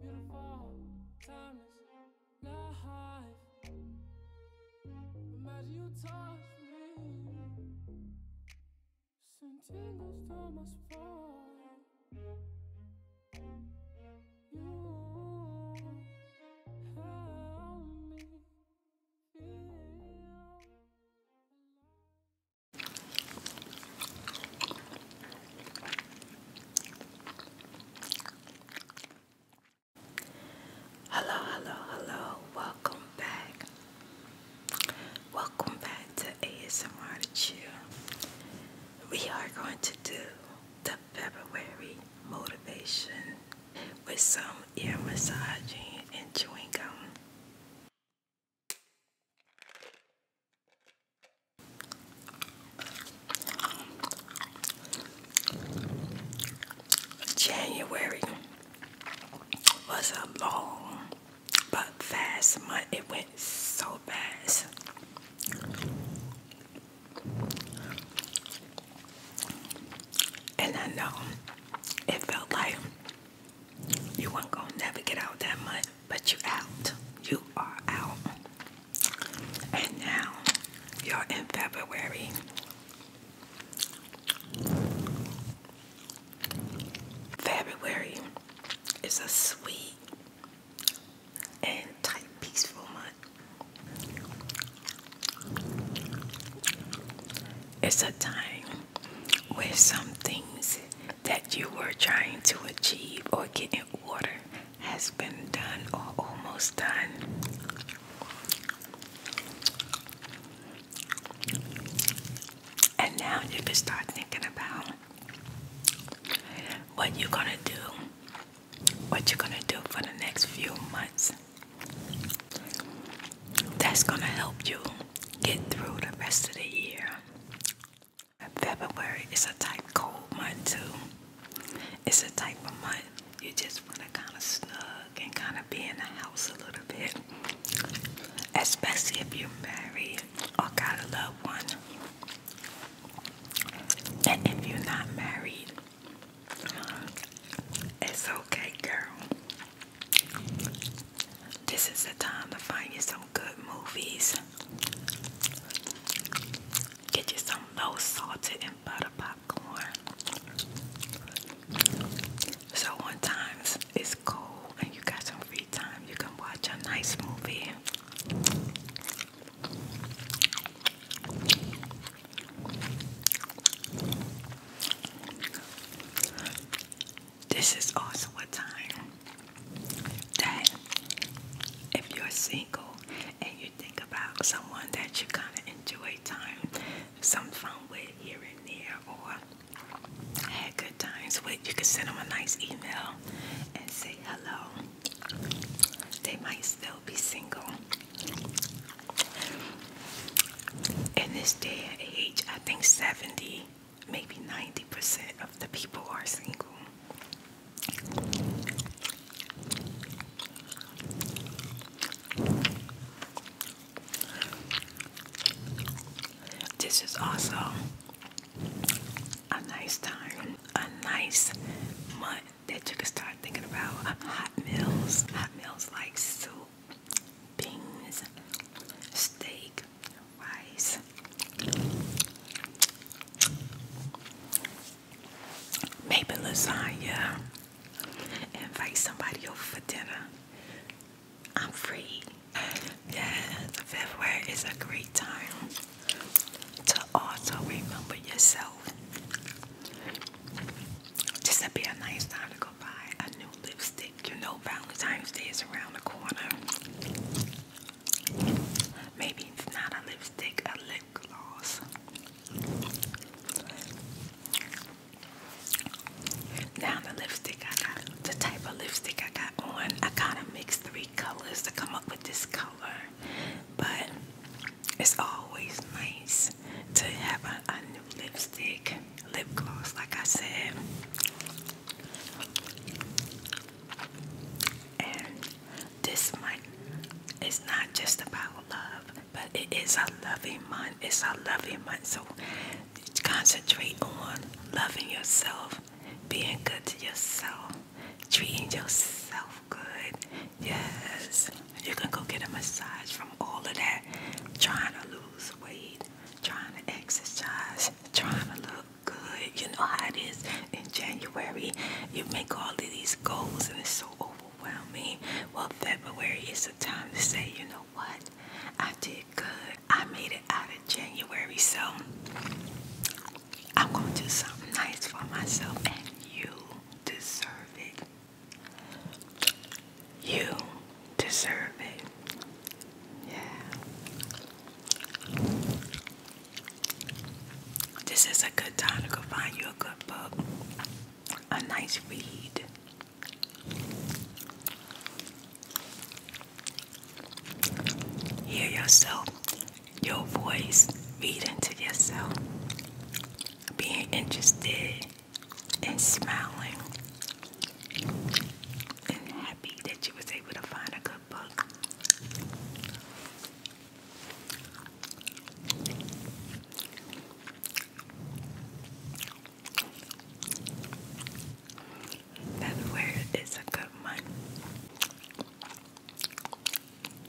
Beautiful, timeless, life. Imagine you touch me. Send tingles to my You help me feel Hello, hello, hello. Welcome back. Welcome back to ASMR Chill. We are going to do the February motivation with some ear massaging and chewing gum. January was a long but fast month. It went so fast. And I know it felt like you weren't gonna never get out that much, but you out. You are out. And now you're in February. February is a sweet and tight, peaceful month. It's a time where some things that you were trying to achieve or get in order has been done or almost done. And now you can start thinking about what you're going to do, what you're going to do for the next few months. That's going to help you get through the rest of the year. February is a type cold month too. It's a type of month you just want to kind of snug and kind of be in the house a little bit. Especially if you're married or got a loved one. And if you're not married, it's okay, girl. This is the time to find you some good movies. Get you some low salted and butter popcorn. So when it's cold and you got some free time, you can watch a nice movie. This is also a time that if you're single and you think about someone that you kind of enjoy time, some fun with here and there, or had good times with, you can send them a nice email and say hello. They might still be single. In this day and age, I think 70, maybe 90% of the people are single. This is also a nice time, a nice month that you can start thinking about hot meals. Hot meals like soup, beans, steak, rice maybe lasagna, invite somebody over for dinner. I'm free. Yeah, February is a great time to also remember yourself. Just to be a nice time to go buy a new lipstick. You know Valentine's Day is around the corner. Maybe it's not a lipstick, a lip gloss. Now the lipstick I got, the type of lipstick I got on, I kind of mixed three colors to come up with this color. But it's always nice to have a, new lipstick, lip gloss, like I said. And this month is not just about love, but it is a loving month. It's a loving month. So concentrate on loving yourself, being good to yourself, treating yourself good. Yes, you can go get a massage from all of that. Trying to lose weight, trying to exercise, trying to look good. You know how it is in January. You make all of these goals and it's so overwhelming. Well, February is the time to say, you know what? I did good. I made it out of January. So I'm going to do something nice for myself and you deserve it. You deserve it. Yeah. This is a good time to go find you a good book, a nice read. Hear yourself, your voice, reading to yourself, being interested and smiling and happy that you was able to find a good book. That word is a good one.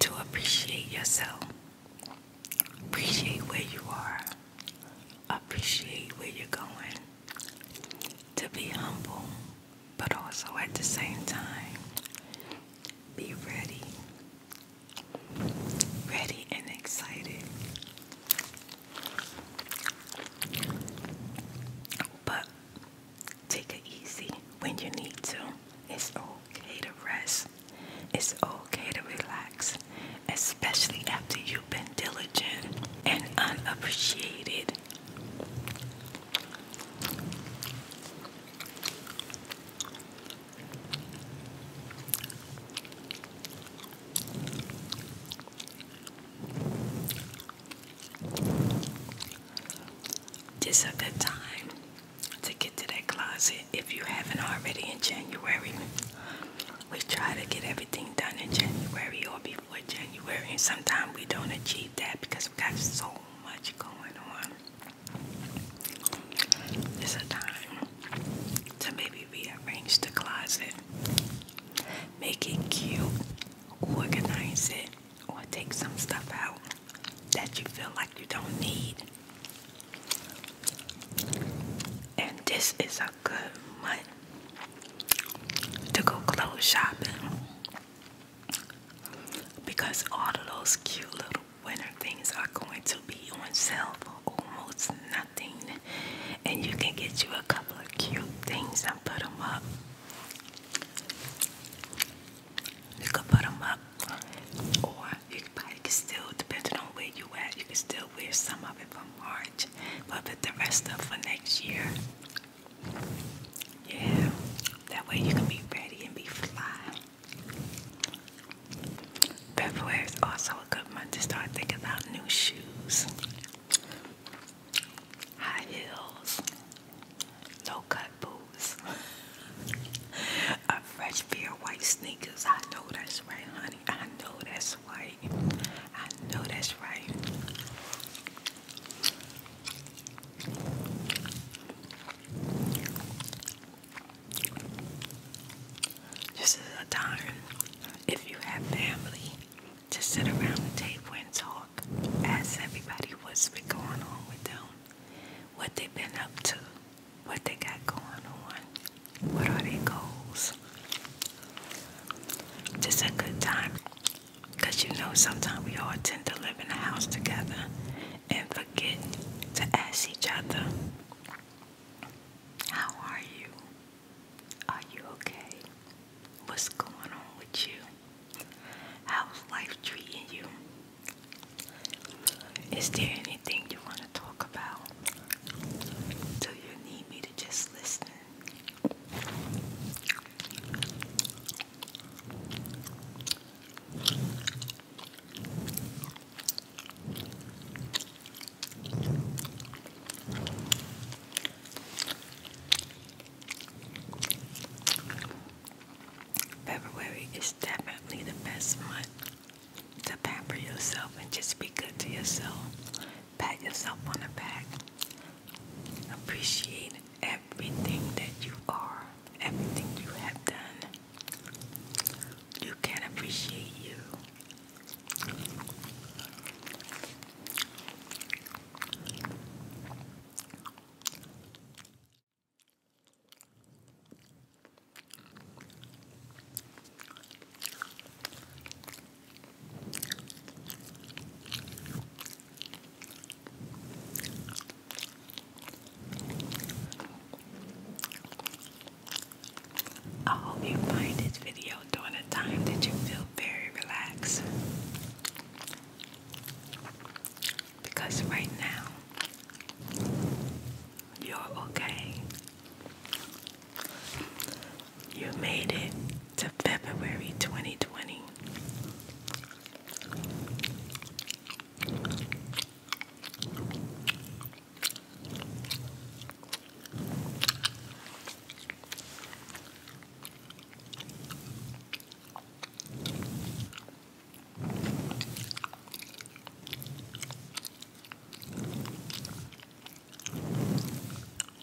To appreciate yourself, appreciate where you are, appreciate where you're going, to be humble, but also at the same time, be ready, ready and excited. But take it easy when you need to. It's okay to rest. It's okay to relax, especially after you've been diligent and unappreciated. This a good time to get to that closet if you haven't already in January. We try to get everything done in January or before January, and sometimes we don't achieve that because we got so much going on. It's a time to maybe rearrange the closet, make it cute, organize it, or take some stuff out that you feel like you don't need. And this is a good month to go clothes shopping because all of those cute little winter things are going to be on sale for almost nothing, and you can get you a couple of cute things and put them up. You can put them up, or you can still, depending on where you at, you can still wear some of it for March, but put the rest up for next year. Yeah, that way you can be ready and be fly. February is also a good month to start thinking about new shoes, high heels, low cut boots, a fresh pair of white sneakers. I know that's right, honey. I know that's right. I know that's right. This is a time if you have family to sit around the table and talk, ask everybody what's been going on with them, what they've been up to, what they got going on, what are their goals. Just a good time because you know, sometimes we all tend to live in a house together and forget to ask each other, How are you? Are you okay? What's going on with you? How's life treating you? Is there anything you want to talk about? Do you need me to just listen? February is definitely the best month to pamper yourself and just be good to yourself. Pat yourself on the back. Appreciate everything that you are, everything you have done. You can appreciate you. I hope you find this video during a time that you feel very relaxed. Because right now, you're okay. You made it to February 2020.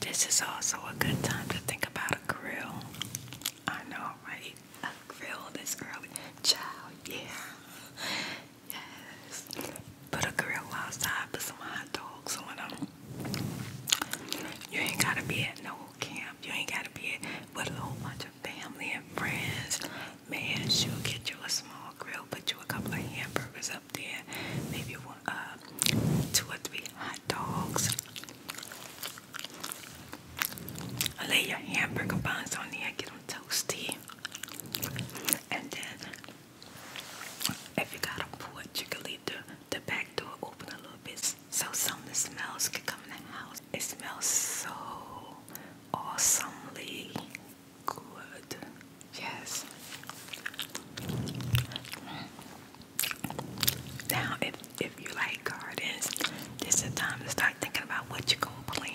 This is also a good time to think about a grill. I know, right? grill this early. yeah. Yes. Put a grill outside, put some hot dogs on them. You ain't gotta be at no camp. You ain't gotta be at, with a whole bunch of family and friends. Man, she'll get you a small grill, put you a couple of hamburgers up there, maybe one, uh, two or three hot dogs. Lay your hamburger buns on there, get them toasty, and then if you got a porch, you can leave the the back door open a little bit so some of the smells can come in the house. It smells so awesomely good. Yes. Now, if if you like gardens, this the time to start thinking about what you're gonna plant.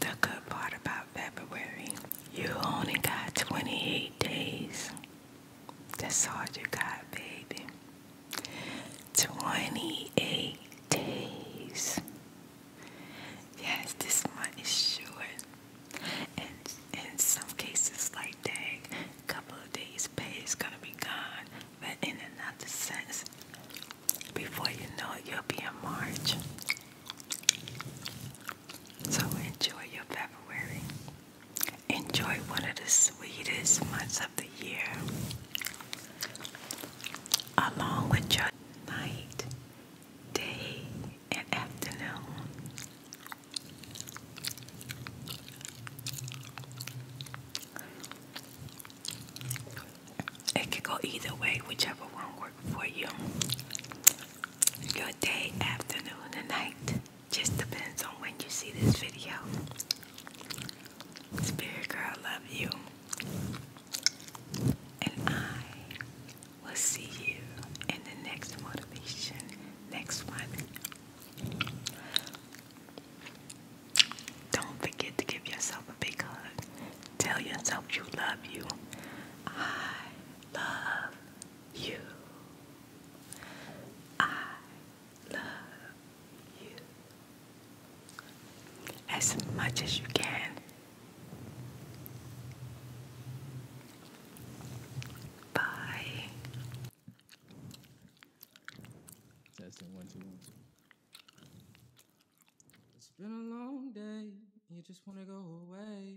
The good part about February you only got 28 days. That's all you got, baby. 28 days. Yes, this month is short. And in some cases, like day, a couple of days' pay is gonna be gone. But in another sense, before you know it, you'll be in March. So enjoy your February. Enjoy one of the sweetest months of the year. Along with your night, day, and afternoon. It could go either way, whichever one works for you your day, afternoon, and night. Just depends on when you see this video. Spirit girl, love you. And I will see you in the next motivation, next one. Don't forget to give yourself a big hug. Tell yourself you love you. I love you. I love you. As much as you can. Bye. Testing one, two, one, two. It's been a long day, you just want to go away.